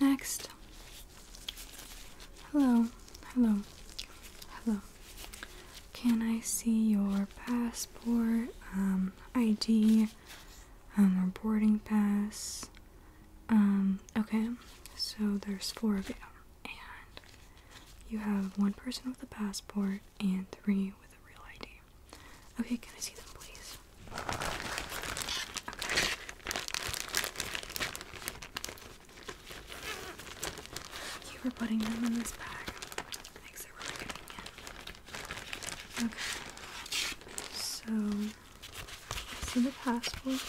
Next. Hello, hello, hello. Can I see your passport, um, ID, um, or boarding pass? Um, okay, so there's four of you, and you have one person with a passport and three with a real ID. Okay, can I see them, please? You were putting them in this bag. Makes it really convenient. Okay. So this is the passport.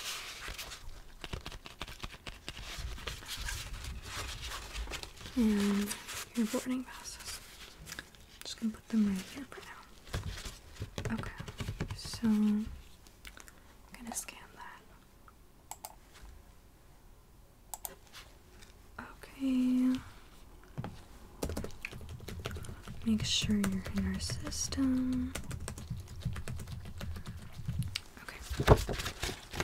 And your boarding passes just gonna put them right here for now. Okay, so I'm gonna scan that. Okay. Make sure you're in our system. Okay.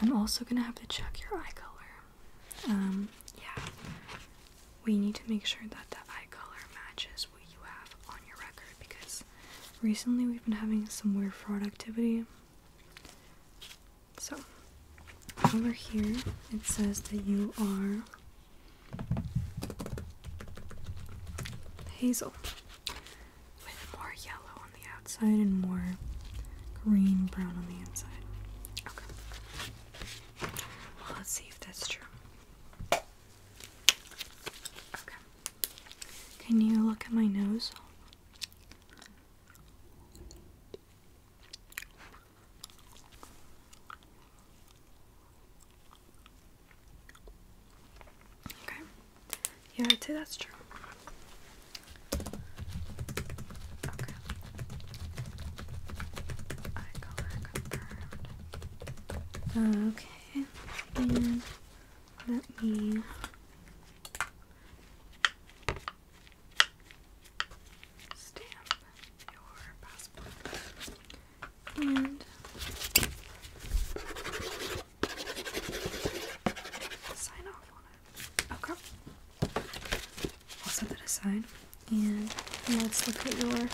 I'm also gonna have to check your eye color. Um, yeah we need to make sure that the eye color matches what you have on your record because recently we've been having some weird fraud activity. So, over here it says that you are hazel with more yellow on the outside and more green brown on the inside. Okay. Well, let's see if that's true. Can you look at my nose? Okay. Yeah, I'd say that's true. Okay. Okay, and let me. Stamp your passport and sign off on it. Okay. Oh, I'll set that aside. And let's look at your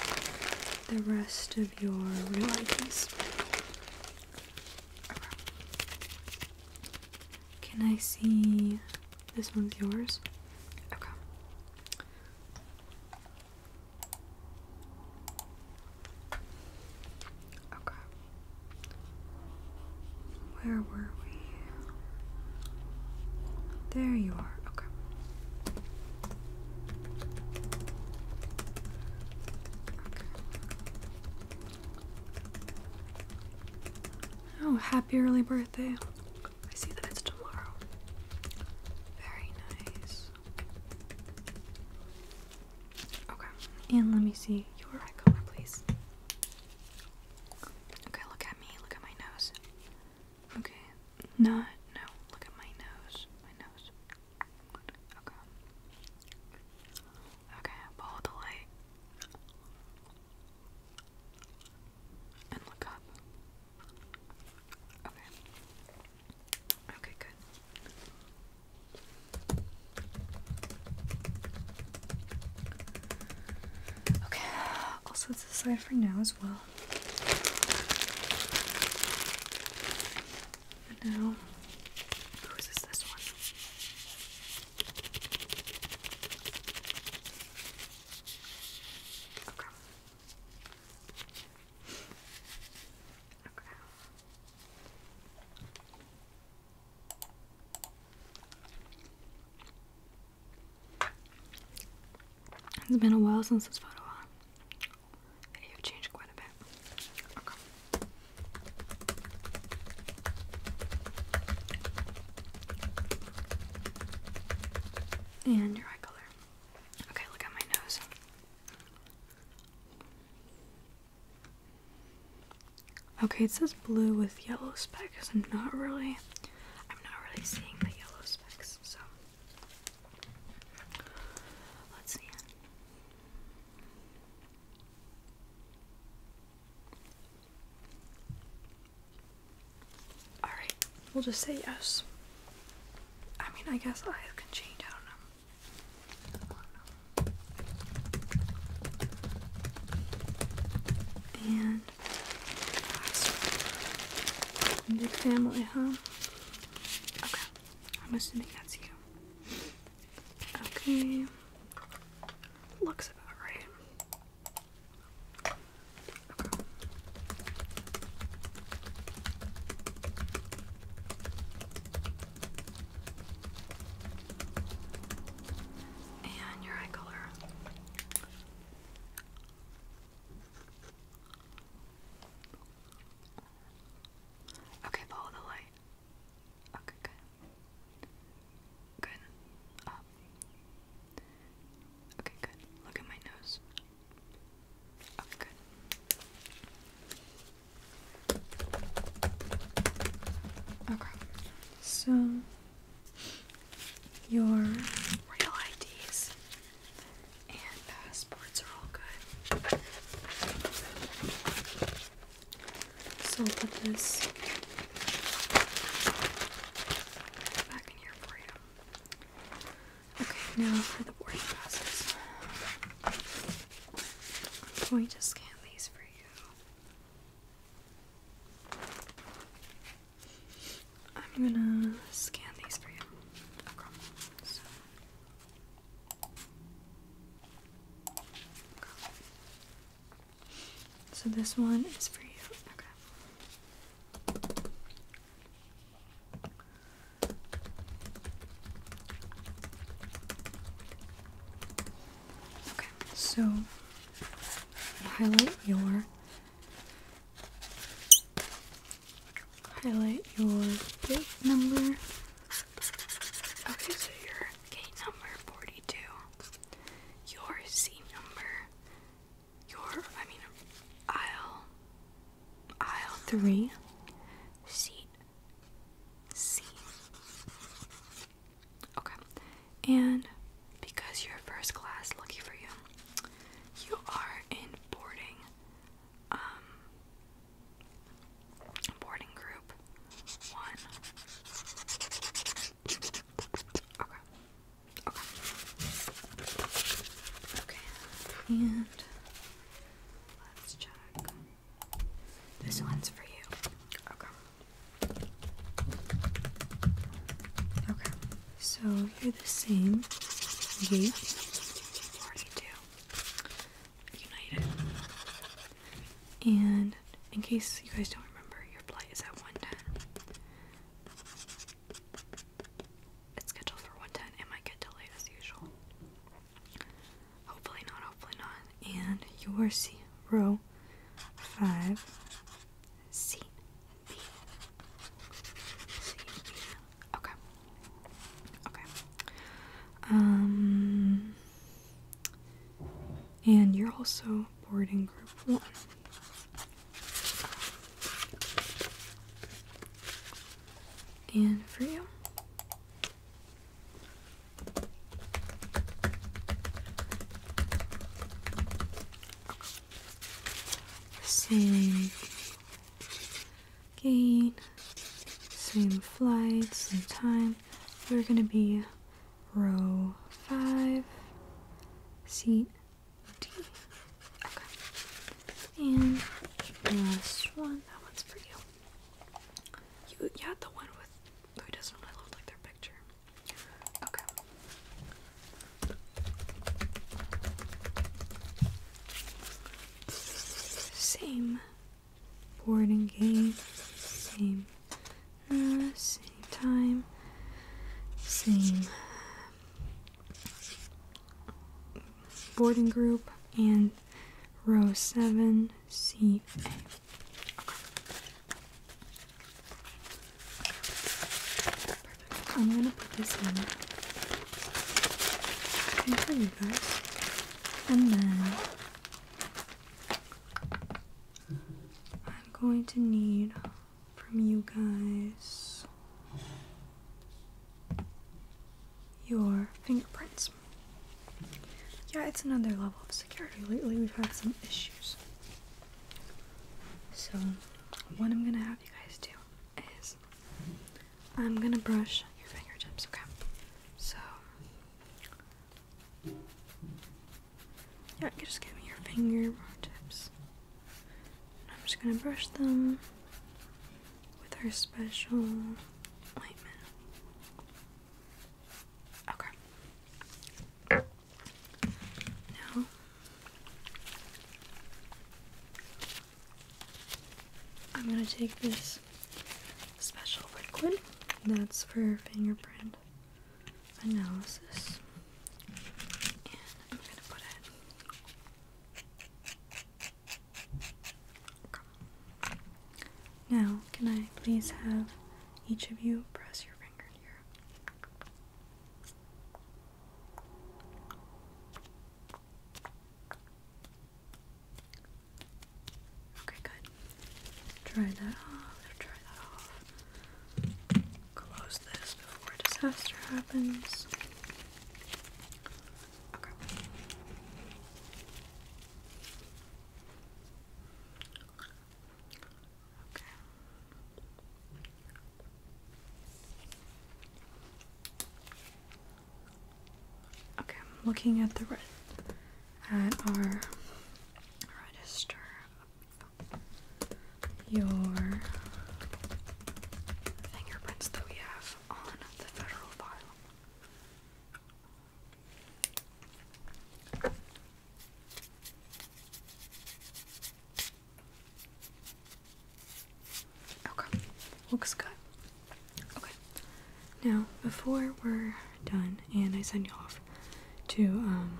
the rest of your real IDs. Can I see this one's yours? Okay. Okay. Where were we? There you are. Okay. Oh, happy early birthday. I see that it's tomorrow. Very nice. Okay, and let me see your eye color, please. Okay, look at me. Look at my nose. Okay, not, no, look at my nose, my nose. Okay. Okay, follow the light. And look up. Okay. Okay, good. Okay, also this aside for now as well. now, whose this one? Okay. Okay. It's been a while since this photo on. Video changed quite a bit. And your eye color. Okay, look at my nose. Okay, it says blue with yellow specks. I'm not really I'm not really seeing the yellow specks, so let's see. Alright, we'll just say yes. I mean I guess eyes can change, I don't know. And Big family, huh? Okay. I'm assuming that's you. Okay. Looks about right. Okay. And your eye color. Okay, follow the light. Okay, good. Good. Up. Okay, good. Look at my nose. Okay, good. Okay, so your real IDs and passports are all good. So I'll put this back in here for you. Okay, now for the boarding passes. I'm going to scan these for you. I'm gonna scan these for you. So. so this one is for you. Okay. Okay, so highlight your highlight your gate number. Okay, so your gate number 42, your seat number, your I mean aisle aisle three seat C Okay. And because you're first class, lucky for you, you are in boarding um boarding group one. Okay. Okay. Okay. And let's check. This one's for you. Okay. Okay, so you're the same gate 42 United. And in case you guys don't remember, your flight is at 110. It's scheduled for 110. It might get delayed as usual. Hopefully not, hopefully not. And your C row five C B. C B. Okay. Okay. Um and you're also boarding group one. And for you, same gain, same flight, same time. We're going to be row 5, seat D. Okay. And last one, that one's for you. You, the one with who doesn't really like their picture. Okay. Same board and game, same, uh, same time, same boarding group, and row seven, C A. I'm gonna put this in okay, for you guys, and then I'm going to need from you guys your fingerprints. Yeah, it's another level of security. Lately, we've had some issues. So, what I'm gonna have you guys do is I'm gonna brush your fingertips, okay? So, yeah, just give me your fingertips. And I'm just gonna brush them with our special Okay. Now, I'm going to take this special liquid that's for fingerprint analysis, and I'm going to put it now, can I please have each of you press your finger here? Okay, good. Try that off, try that off. Close this before disaster happens. Okay. Okay. Okay, I'm looking at the red at our register your fingerprints that we have on the federal file. Okay, looks good. Okay, now before we're done and I send you off to um,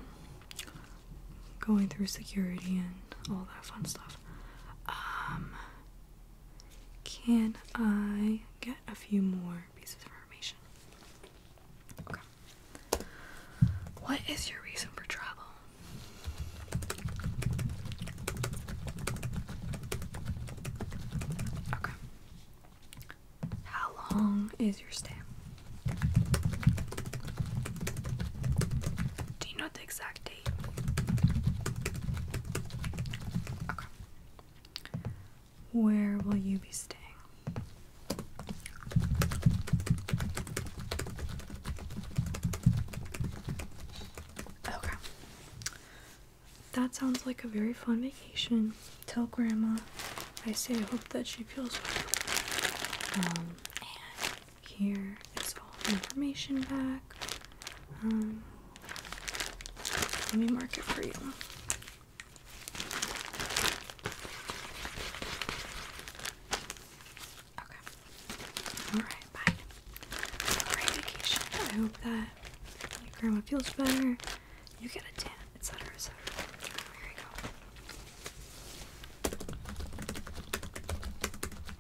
going through security and all that fun stuff, um, can I get a few more pieces of information? Okay. What is your reason for travel? Okay. How long is your stay? Do you know the exact where will you be staying? Okay. That sounds like a very fun vacation. Tell Grandma I say I hope that she feels well. Um, here is all the information back. Um, let me mark it for you. Okay. Alright, bye. Great vacation. I hope that grandma feels better. You get a tan, etc. etc. There we go.